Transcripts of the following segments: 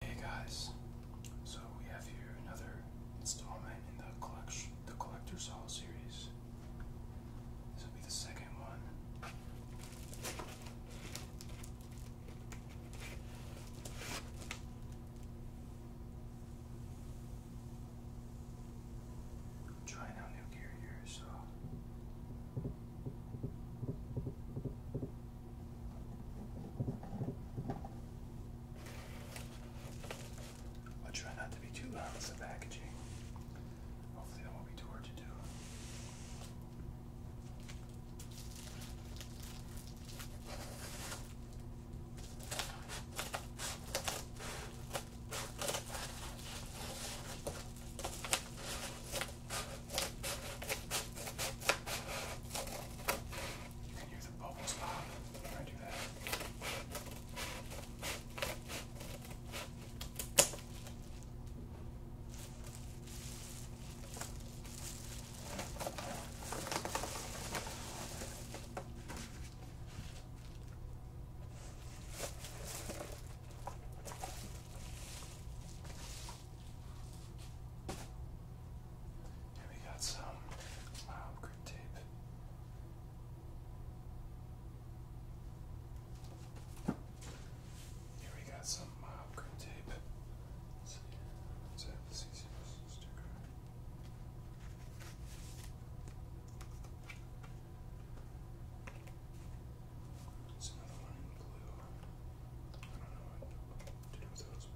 Hey guys, so we have here another installment in the collection, the collector's hall series. This will be the second one. trying out new gear here, so. I try not to be too loud with the packaging. Hopefully, that won't be too hard to do. You can hear the bubbles pop when I do that. And we got some uh, um, grip tape. Here we got some mob um, uh, tape. Let's see. Let's add the CC sticker. There's another one in blue. I don't know what do you know what those?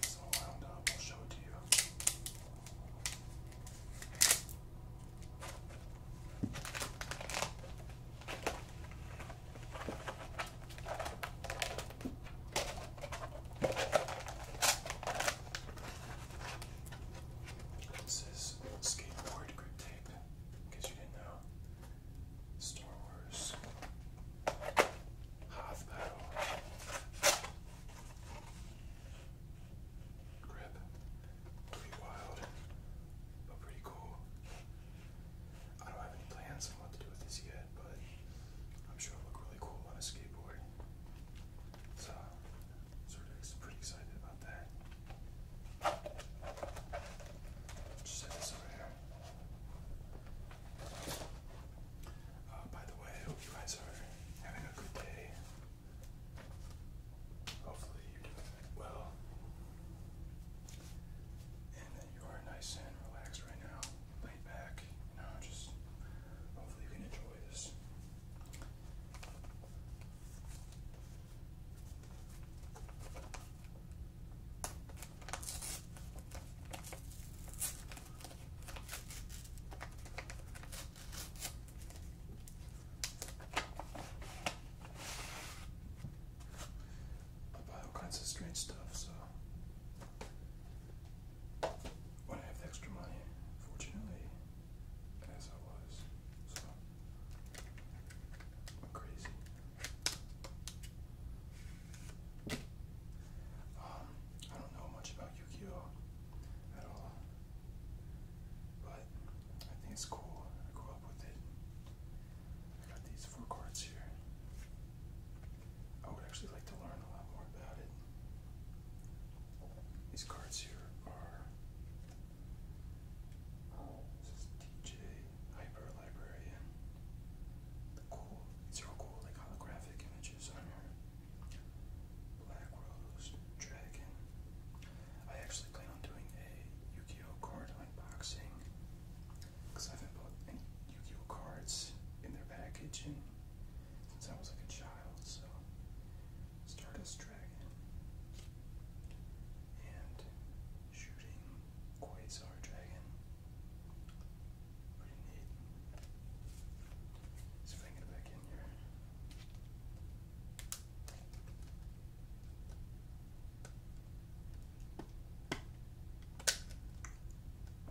It's all wound up. I'll show it to you. This is skateboard grip tape, in you didn't know. Star Wars. Hoth pedal. Grip. Pretty wild, but pretty cool. I don't have any plans on what to do with this yet, but I'm sure it look really cool on a skateboard. So, sort of pretty excited about that. Just set this over here. Uh, by the way, I hope you guys are having a good day. Hopefully you're doing well. And that you are nice and relaxed right now, laid back. You know, just hopefully you can enjoy this I buy all kinds of strange stuff, so when I have the extra money, fortunately, as I was. So crazy. Um, I don't know much about Yu-Gi-Oh! at all. But I think it's cool. I grew up with it. I got these four cards here. I would actually like to learn a lot more about it. These cards here are oh, this is DJ Hyper Librarian. The cool, these are cool, like holographic images on here. Black Rose, Dragon. I actually plan on doing a Yu-Gi-Oh card unboxing because I haven't bought Yu-Gi-Oh cards in their package since I was like a child, so Stardust Dragon, and Shooting Quasar Dragon. Pretty neat. See if I can back in here.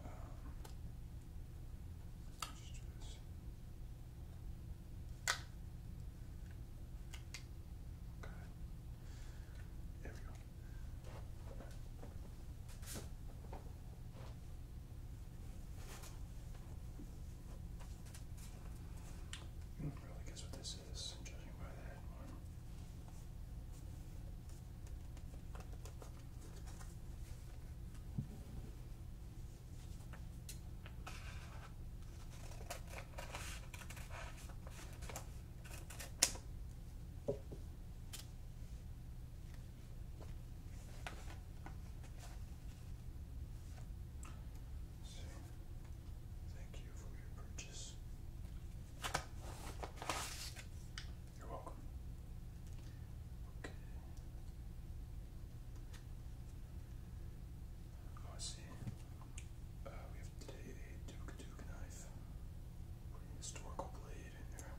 Um, let's do this. Okay. There we go. You can really guess what this is, judging by that headline thank you for your purchase. You're welcome. Okay. Oh, I see. Uh, we have today a Duke Duke knife. historical blade in there.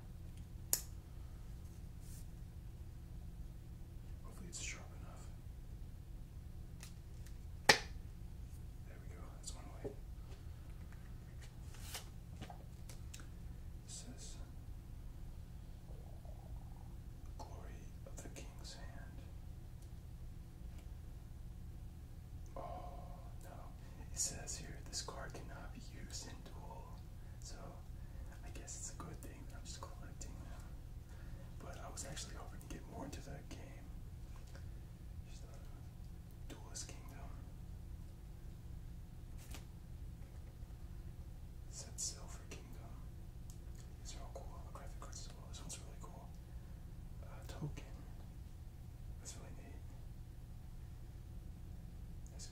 Hopefully it's sharp enough. There we go, that's one way. It says, Glory of the King's hand. Oh, no. It says here this card cannot be used in duel. So I guess it's a good thing that I'm just collecting them. But I was actually hoping to get more into that game. Uh, duelist Kingdom. Set Silver Kingdom. These are all cool holographic cards as well. This one's really cool. Uh, token. That's really neat. There's a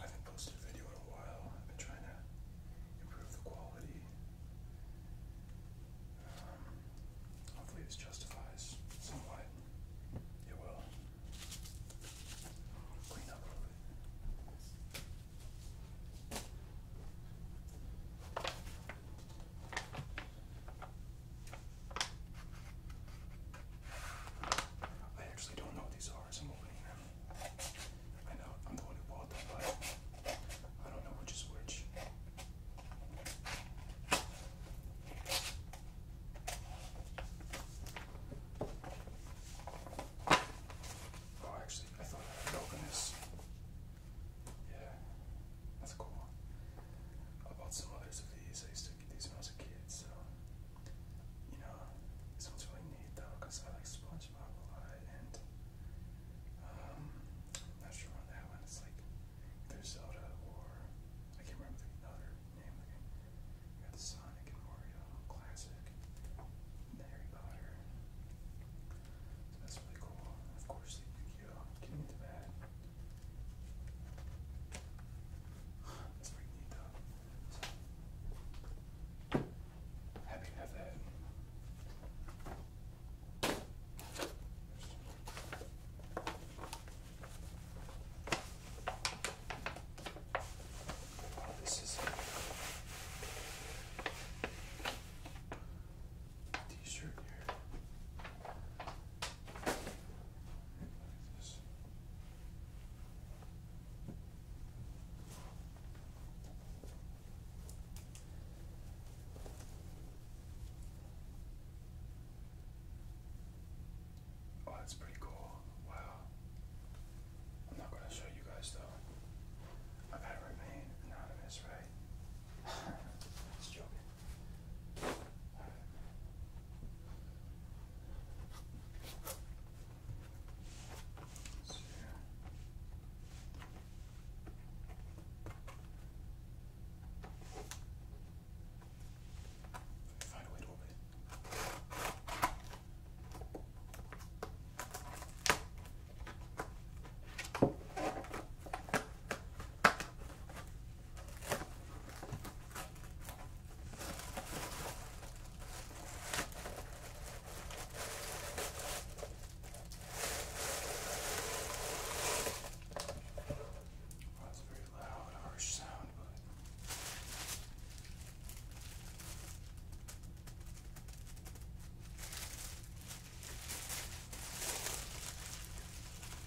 I haven't posted a video a while. I've been trying to improve the quality. Um, hopefully, this justifies somewhat. It will. Clean up a little bit. I actually don't know what these are, so I'm opening them. I know I'm the one who bought them, but I don't know which is which. Oh, actually, I thought I had opened this. Yeah, that's cool. I bought some others of these. I used to get these when I was a kid, so. You know, this one's really neat though, because I like sponges. Um, not sure on that one. It's like either Zelda or I can't remember the other name. Like, got the Sonic and Mario classic, Harry Potter. So that's really cool. of course, the yu Getting into that. That's pretty neat though. Happy to have that. Oh, this is a t-shirt here. This. Oh, that's pretty cool. Wow. I'm not going to show you guys though. I've got to remain anonymous, right? Just joking. All right. Find a way to open it. Well, that's a very loud, harsh sound, but.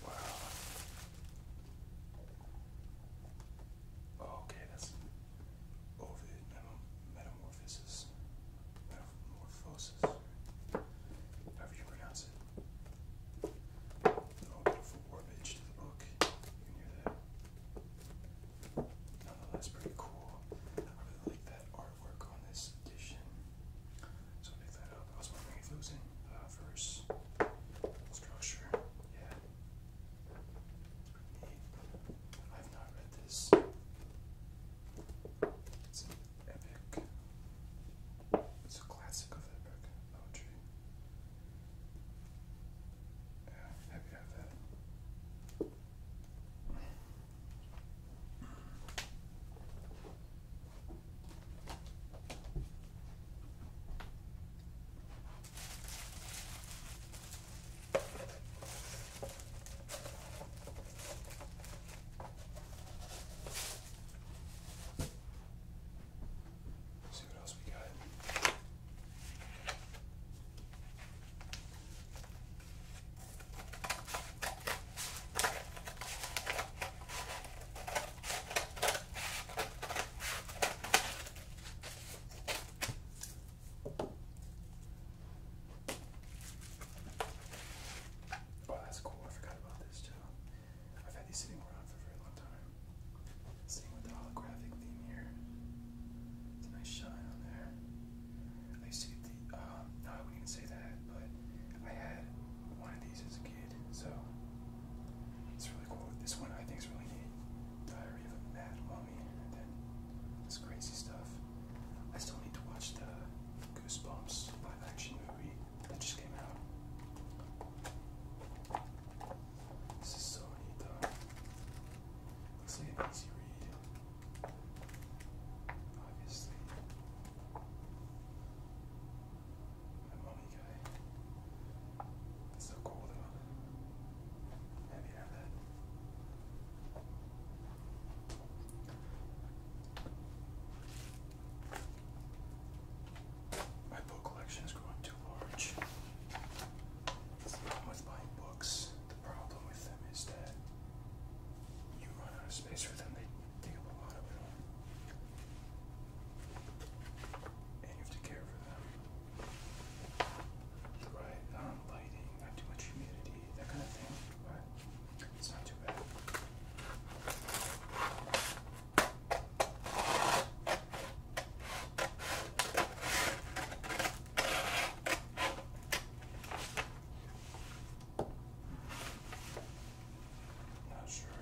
Wow. Oh, okay, that's Ovid Metamorphosis. Metamorphosis. However you pronounce it. No beautiful warpage book. You hear that. No, pretty cool. I really like that artwork on this edition. So pick that up. I was wondering if it in uh, verse structure. Yeah. I've not read this. It's an epic. It's a classic of epic poetry. Yeah, have you have that? See what else we got. Oh, that's cool. I forgot about this too. I've had these sitting around for a very long time. Same with the holographic theme here. It's a nice shine on there. I used to get the, um, no, I wouldn't even say that, but I had one of these as a kid, so it's really cool. This one I think is really neat. Diary of a Mad Mummy, and this crazy stuff. I still need to watch the Goosebumps live action movie that just came out. This is so neat though. Looks like an easy read. Obviously. The mummy guy. so cool though. My book collection is growing too large. the problem with buying books. The problem with them is that you run out of space for them, they take up a lot of room. And you have to care for them. Right, lighting, not too much humidity, that kind of thing, but it's not too bad. Not sure.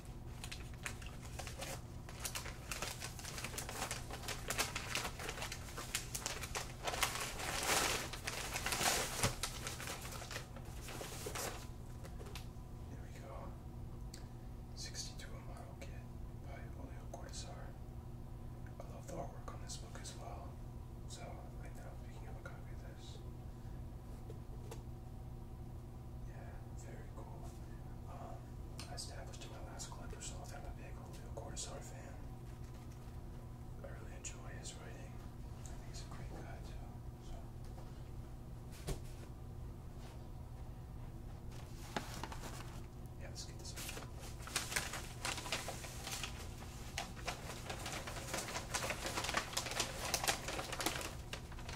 There we go. 62 model kit by Julio Cortazar. I love the artwork on this book as well. So right now I'm picking up copy this. Yeah, very cool. Um, I established in my last collector so that I'm a big Julio Cortázar fan. I really enjoy his writing. I think he's a great guy too. Yeah, let's get this out.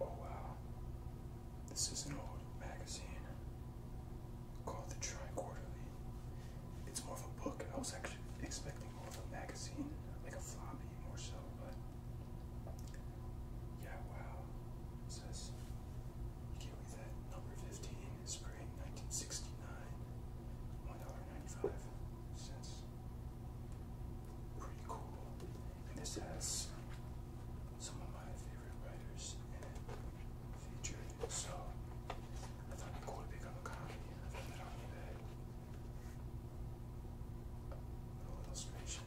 Oh, wow. This is an old magazine called The Tri Quarterly. It's more of a book. I was actually expecting more of a magazine, like a floppy more so, but. Yeah, wow. says, you can that. Number 15 1969, $1.95. Pretty cool. And this has some of my favorite writers in it featured, so I thought it'd be cool to pick up a copy A little illustration.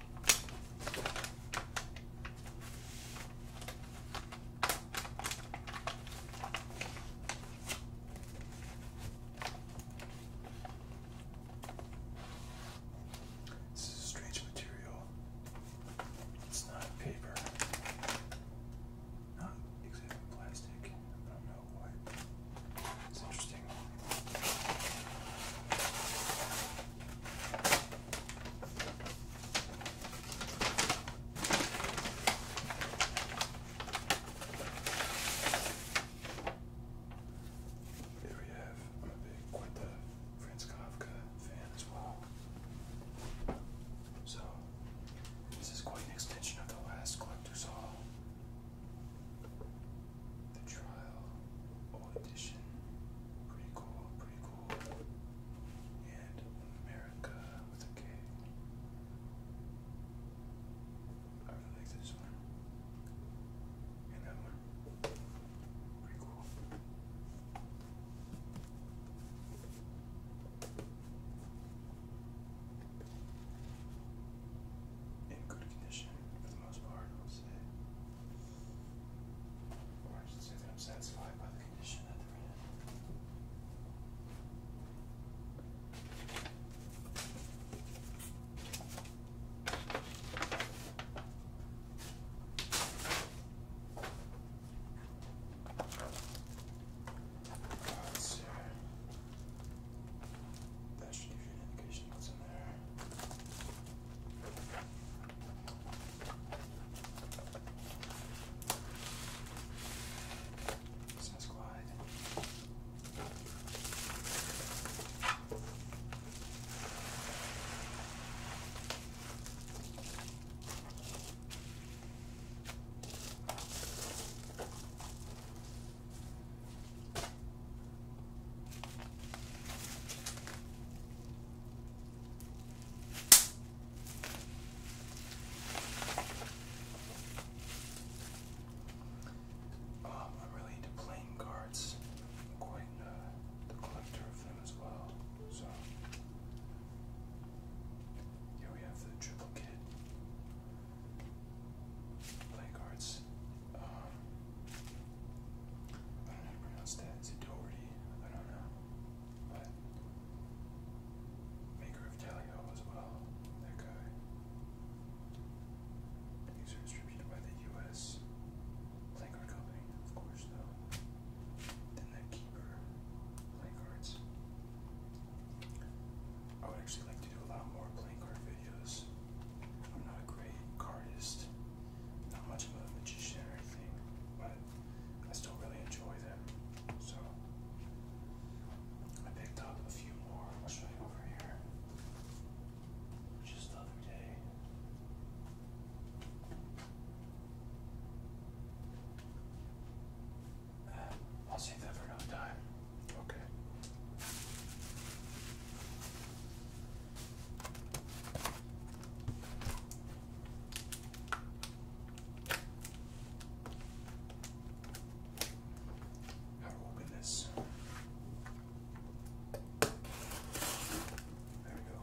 This is a strange material. It's not paper. Not exactly plastic. I don't know why. It's interesting. Here we have, I'm a big quite the Franz Kafka fan as well. So this is quite an extension of the last collector's The trial collectible edition. Pretty cool, pretty cool. And America with a K. I really like this one. And that one. Pretty cool. In good condition for the most part, I'll say. I should say that I'm satisfied by the condition that the are in. Alright, so that should give you an indication what's in there. Sasquad. Oh, I'm really into playing cards. quite uh, the collector of them as well. So here we have the triple kit. Play cards. Um, I don't know how to pronounce that. Is it Doherty? I don't know. But maker of Talio as well. That guy. These are distributed by the U.S. Card Company, of course, though. Then that Keeper Playcards. I would actually like to do a lot more playing card videos. I'm not a great artist not much of a magician or anything, but I still really enjoy them. So I picked up a few more. I'll show you over here. Just the other day. I'll save that for another time. Okay. How to open this? There we go.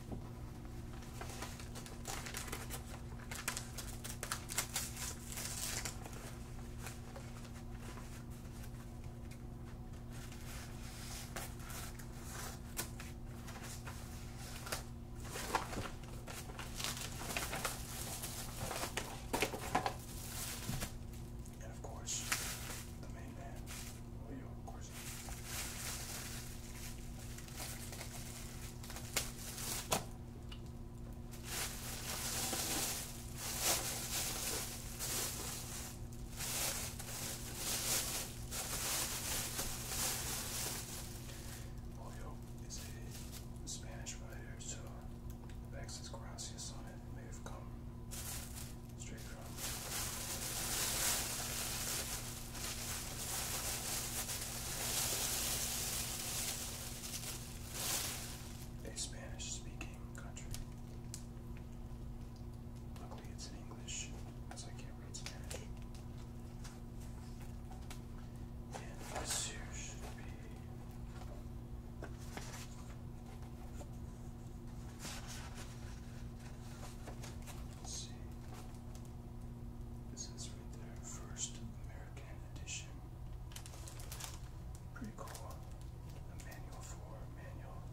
And of course, the main man, Leo Corsi. Julio is a Spanish writer, so the Vex is Gracias on It may have come straight from a Spanish speaking country. Luckily, it's in English, because I can't read Spanish. And this here should be. Let's see. This is right there, first American edition. Pretty cool. A manual for manual.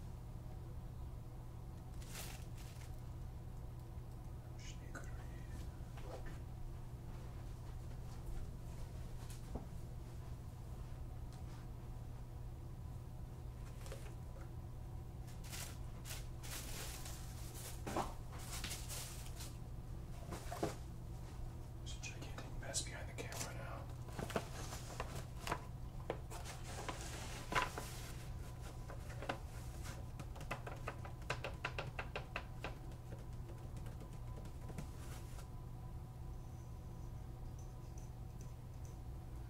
There's a gigantic mess behind the camera now.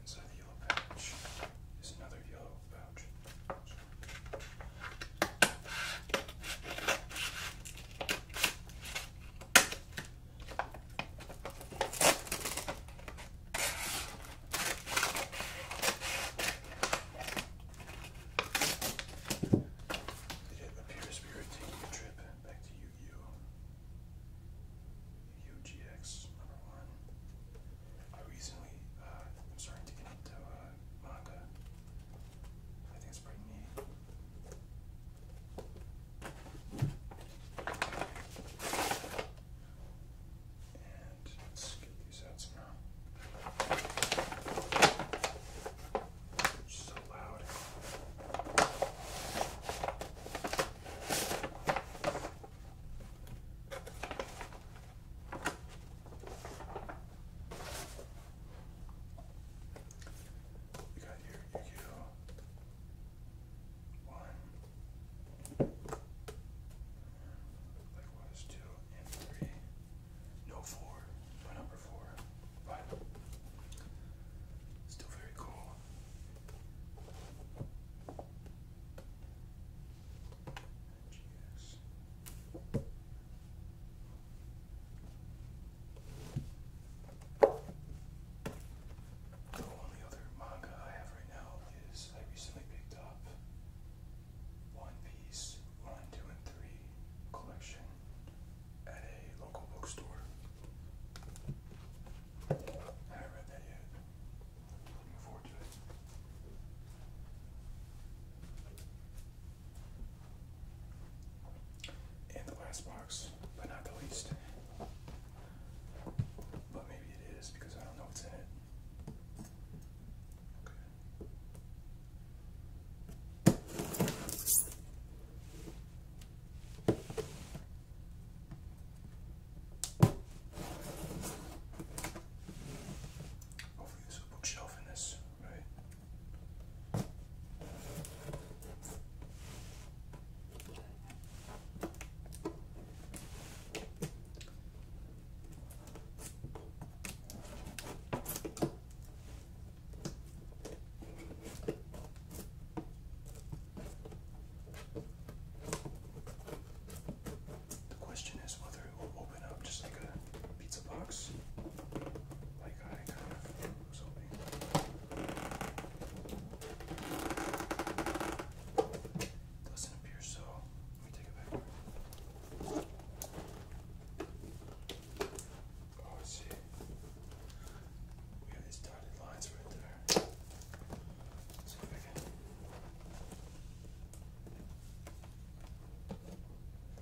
Inside another yellow pouch. It appears we are taking a trip back to yu gi GX number one. I recently, uh, I'm starting to get into uh, manga. I think it's pretty neat. And let's get these out somehow. It's so loud. You got your Yu-Gi-Oh! One. Likewise, two and three. No four. My number four. But still very cool. The only other manga I have right now is I recently picked up One Piece 1, 2, and 3 collection at a local bookstore. I haven't read that yet. Looking forward to it. And the last box, but not the least. But maybe it is because I don't know what's in it. Okay. Hopefully there's a bookshelf in this, right? The question is whether it will open up just like a pizza box, like I kind of was hoping. Doesn't appear so. Let me take it back. Oh, I we got these dotted lines right there. Let's see if I can.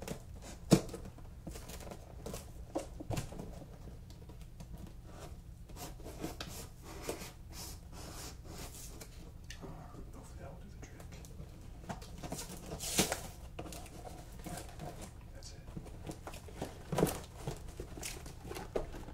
Uh, hopefully that will do the trick. That's it.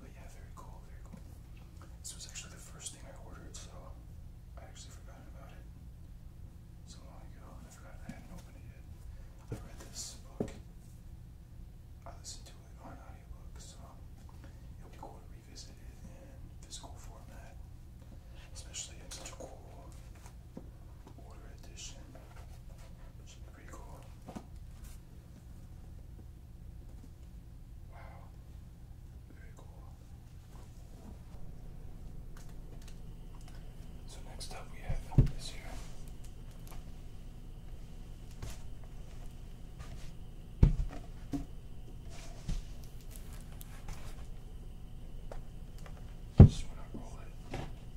But yeah, very cool, very cool. This was actually the first thing I ordered, so I actually forgot about it so long ago, and I forgot I hadn't opened it yet. I read this book. I listened to it on audiobook, so it'll be cool to revisit it in physical format, especially in such a cool order edition. which is pretty cool. Wow, very cool. So next up we have this here. Just when I roll it,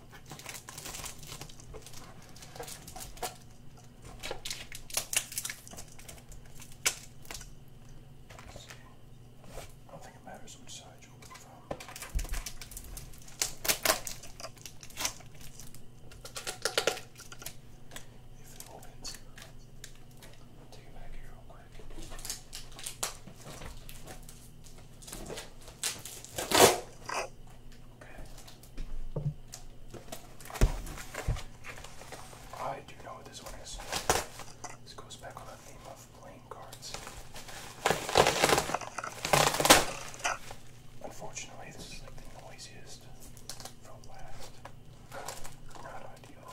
I don't think it matters which side you open from. If it opens, I'll take it back here real quick. Okay. I do know what this one is. This goes back on the theme of playing cards. Unfortunately, this is like the noisiest from last. Not ideal.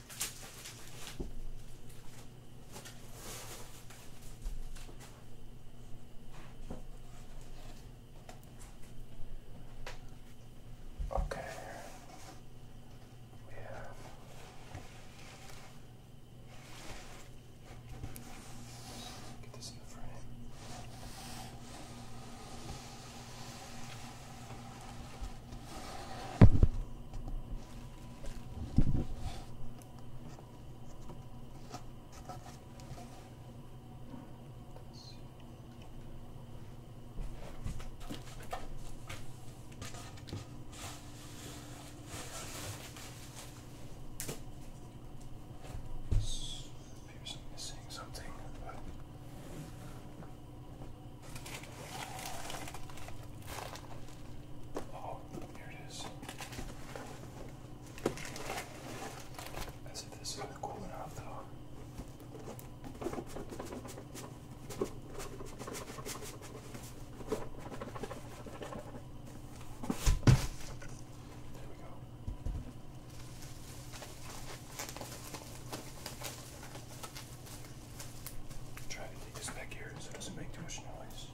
Okay. yeah. get this in the frame. Appears I'm missing something, but Oh, here it is. As if this isn't cool enough, though. There we go. Try to take this back here so it doesn't make too much noise.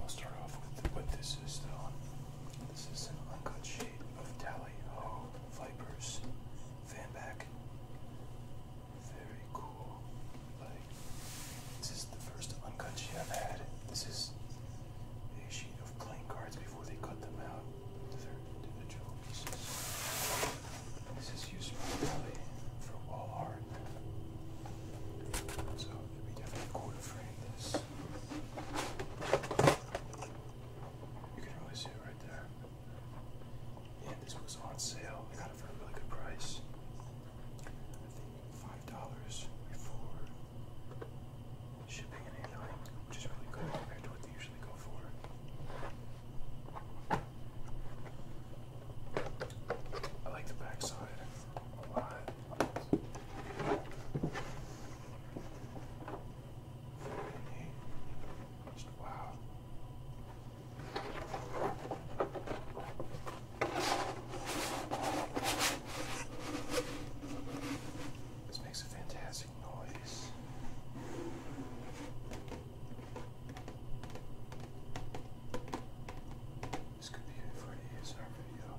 I'll start off with what this is, though. This is an uncut sheet of Tally Ho Vipers fan back. Very cool. this is the first uncut sheet I've had. This is a sheet of playing cards before they cut them out to their individual pieces. This is used primarily for wall art. So it definitely cool to frame this. You can really see it right there. Yeah, this was on sale. I got it for a really good price. I think five dollars before shipping and handling, which is really good compared to what they usually go for. I like the backside a wow. This makes a fantastic noise. This could be it for um, the ASR video.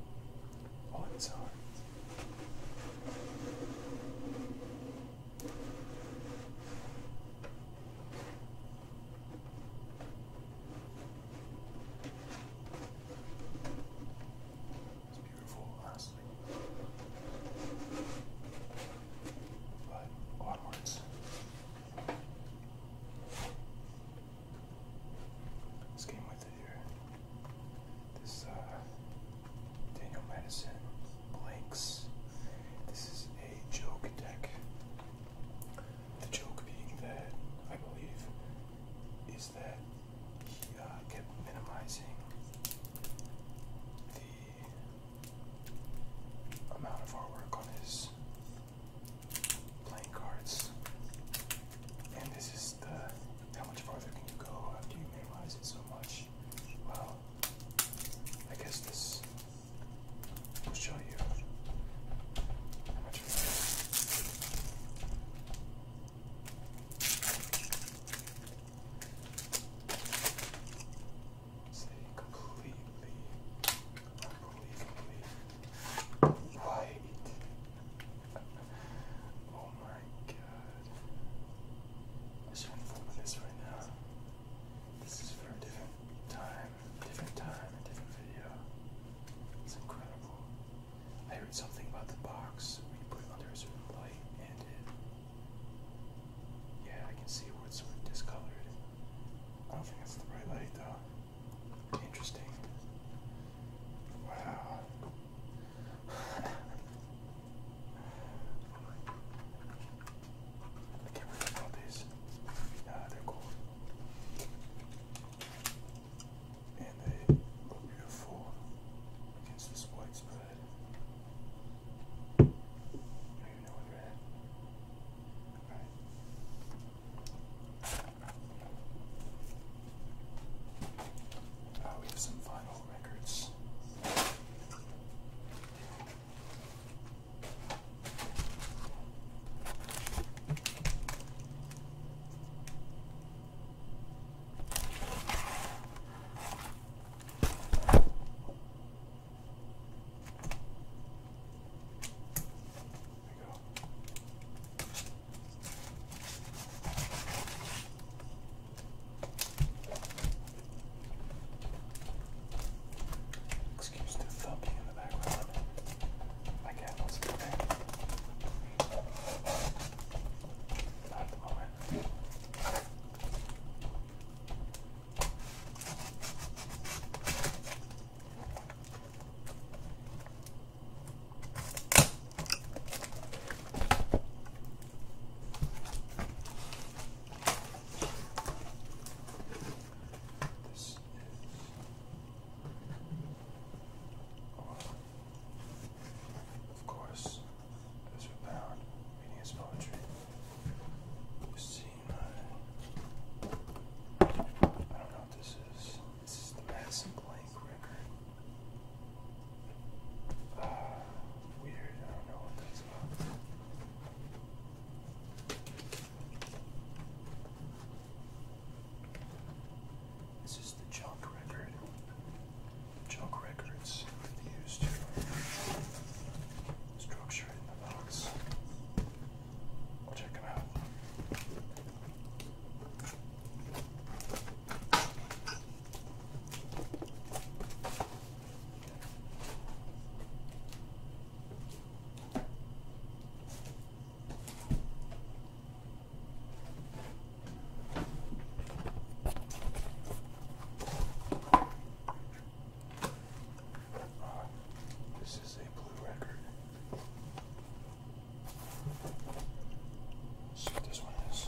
Oh, beautiful, honestly. But onwards. This game with here. This uh, Daniel Madison blanks. This is a joke deck. The joke being that I believe is that he uh, kept minimizing the amount of our work on his playing cards, and this is the how much farther can you go after you memorize it so much? Well, I guess this will show you Say completely, unbelievably white oh my god. I shouldn't fuck this right now. This is for a different time, a different time, a different video. It's incredible. I heard something about the box when you put it under a certain light and it yeah, I can see where it's sort of discolored. I don't think that's the right light though. Interesting. Wow. I can't really about these. Nah, uh, they're cool. And they look beautiful against this white spread. I even know where they're at. Alright. Uh, we have some vinyl records. Excuse the thumping in the background. I can't listen to that. Not at the moment. This is oh, of course, as we bound, reading his poetry. You've seen my I don't know what this is. This is the Madison Blank record. Ah, weird, I don't know what that's about. This is the junk record. Junk records used structure in the box. check them out. This is a blue record. Let's see what this one is.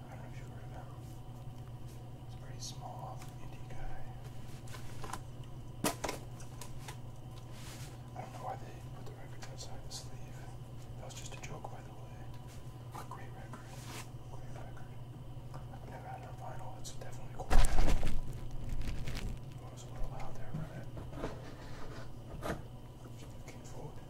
I don't know if you heard of pretty small indie guy. I don't know why they put the records outside the sleeve. That was just a joke, by the way. A great record. Great record. I've never had it vinyl. It's definitely cool. it was a little loud there, right? Just looking forward.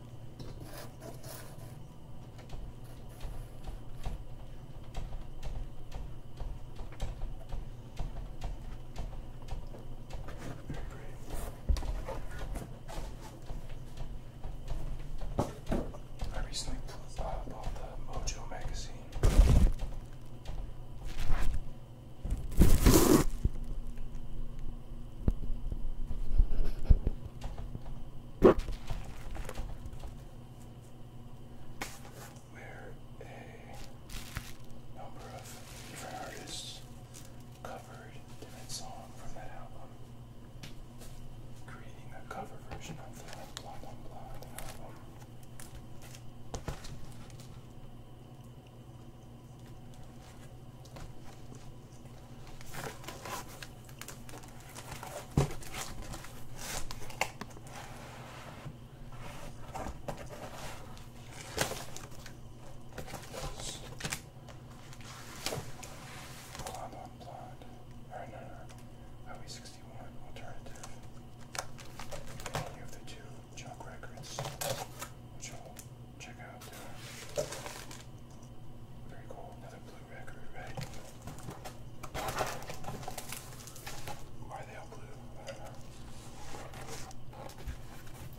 I recently uh, bought the Mojo magazine where a number of different artists covered different song from that album, creating a cover version of the Blah Blah Blah album. Blonde on blonde. Or no, no, Highway 61 alternative. And you have the two junk records, which I'll check out there. Very cool. Another blue record, right? Why are they all blue? I don't know.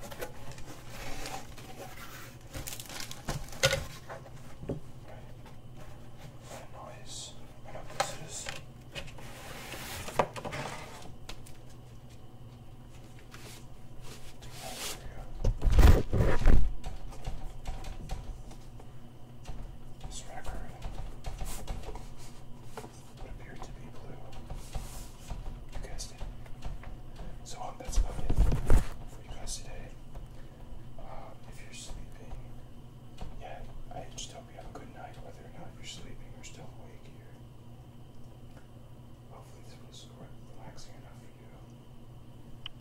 Right. What a noise. I know what this is. Take that over here. This record would appear to be blue. You guessed it. So that's about it for you guys today. if you're sleeping, yeah, I just hope you have a good night, whether or not you're sleeping or still awake here. Hopefully this was relaxing enough for you.